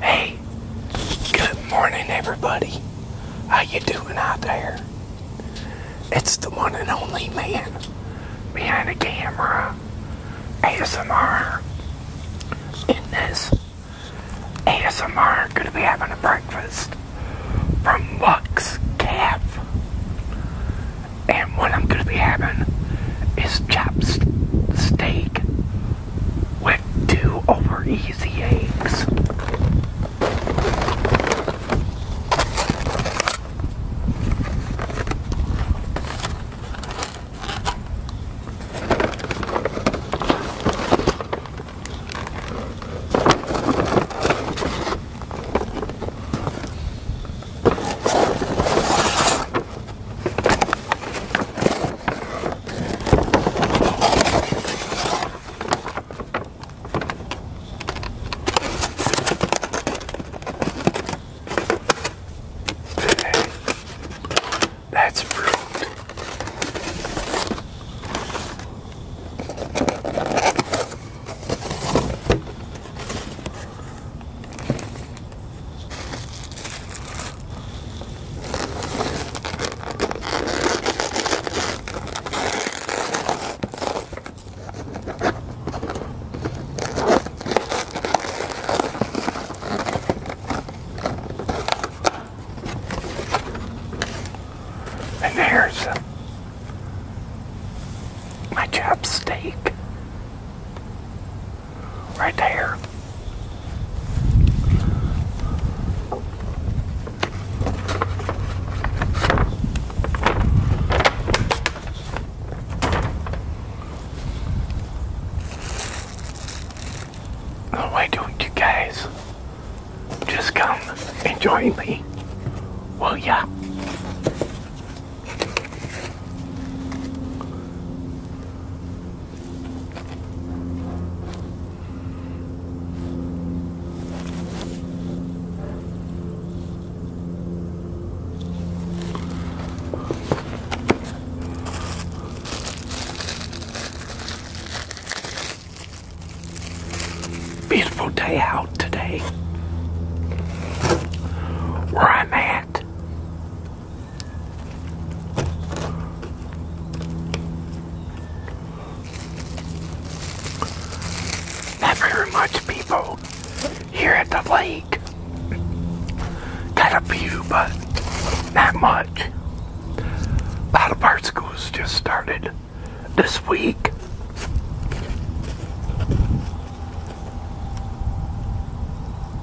Hey, good morning everybody. How you doing out there? It's the one and only man behind the camera, ASMR. In this ASMR, gonna be having a breakfast from Lux Calf. And what I'm gonna be having is chopped steak with two over easy eggs. That's fruit. And there's my chopstick. Right there. why don't you guys just come and join me? Will ya? Beautiful day out today. Where I'm at. Not very much people here at the lake. Got a few, but not much. A lot of art schools just started this week.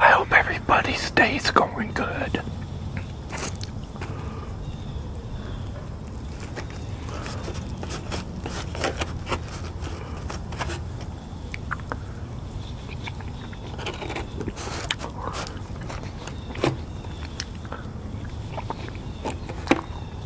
I hope everybody's day's going good.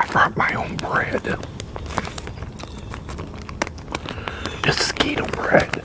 I brought my own bread. This is keto bread.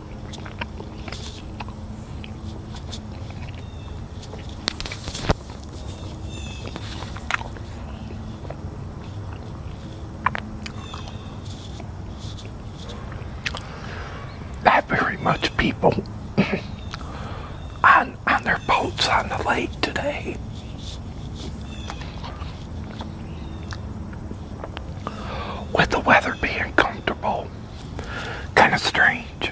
Not very much people on on their boats on the lake today. With the weather being comfortable, kind of strange.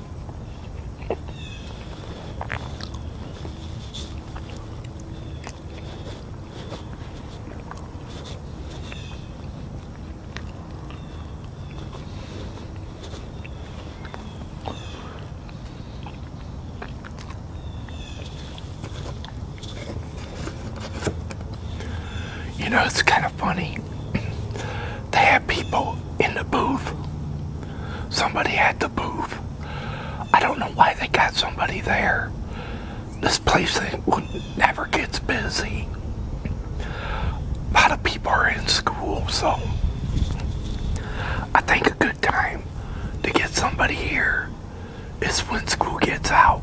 You know, it's kind of funny. They have people in the booth somebody had to booth. I don't know why they got somebody there. This place never gets busy. A lot of people are in school, so I think a good time to get somebody here is when school gets out.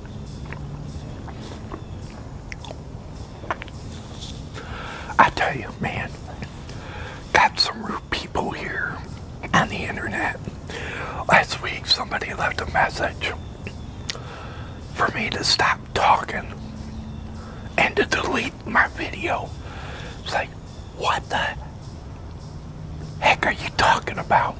I tell you, man, got some rude people here on the internet. Last week, somebody left a message for me to stop talking and to delete my video. It's like, what the heck are you talking about?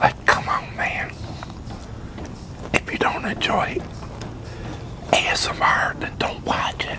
Like, come on, man. If you don't enjoy ASMR, then don't watch it.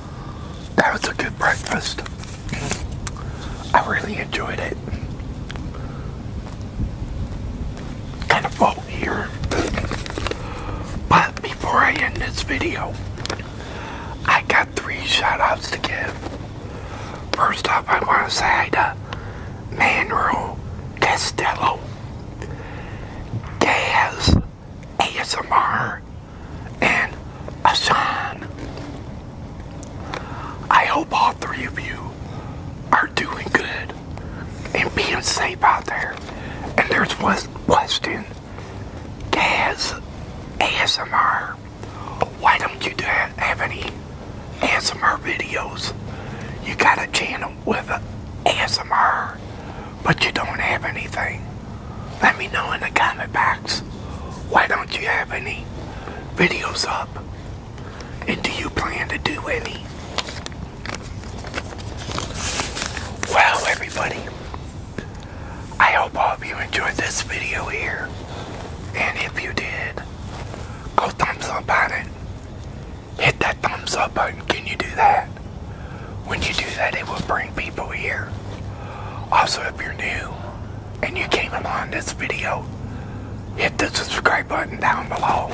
That was a good breakfast. I really enjoyed it. Kind of full here. But before I end this video, I got three shoutouts to give. First off, I want to say to Manuel Castello, Gaz, ASMR and Asan. I hope all three of you are doing good and being safe out there. And there's West question. Gaz ASMR. Why don't you have any ASMR videos? You got a channel with ASMR, but you don't have anything let me know in the comment box why don't you have any videos up and do you plan to do any well everybody I hope all of you enjoyed this video here and if you did go thumbs up on it hit that thumbs up button can you do that when you do that it will bring also, if you're new and you came along this video, hit the subscribe button down below.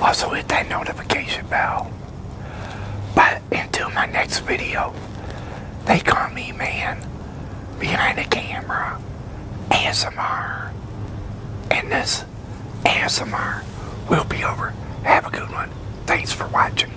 Also, hit that notification bell. But until my next video, they call me man behind the camera, ASMR. And this ASMR will be over. Have a good one. Thanks for watching.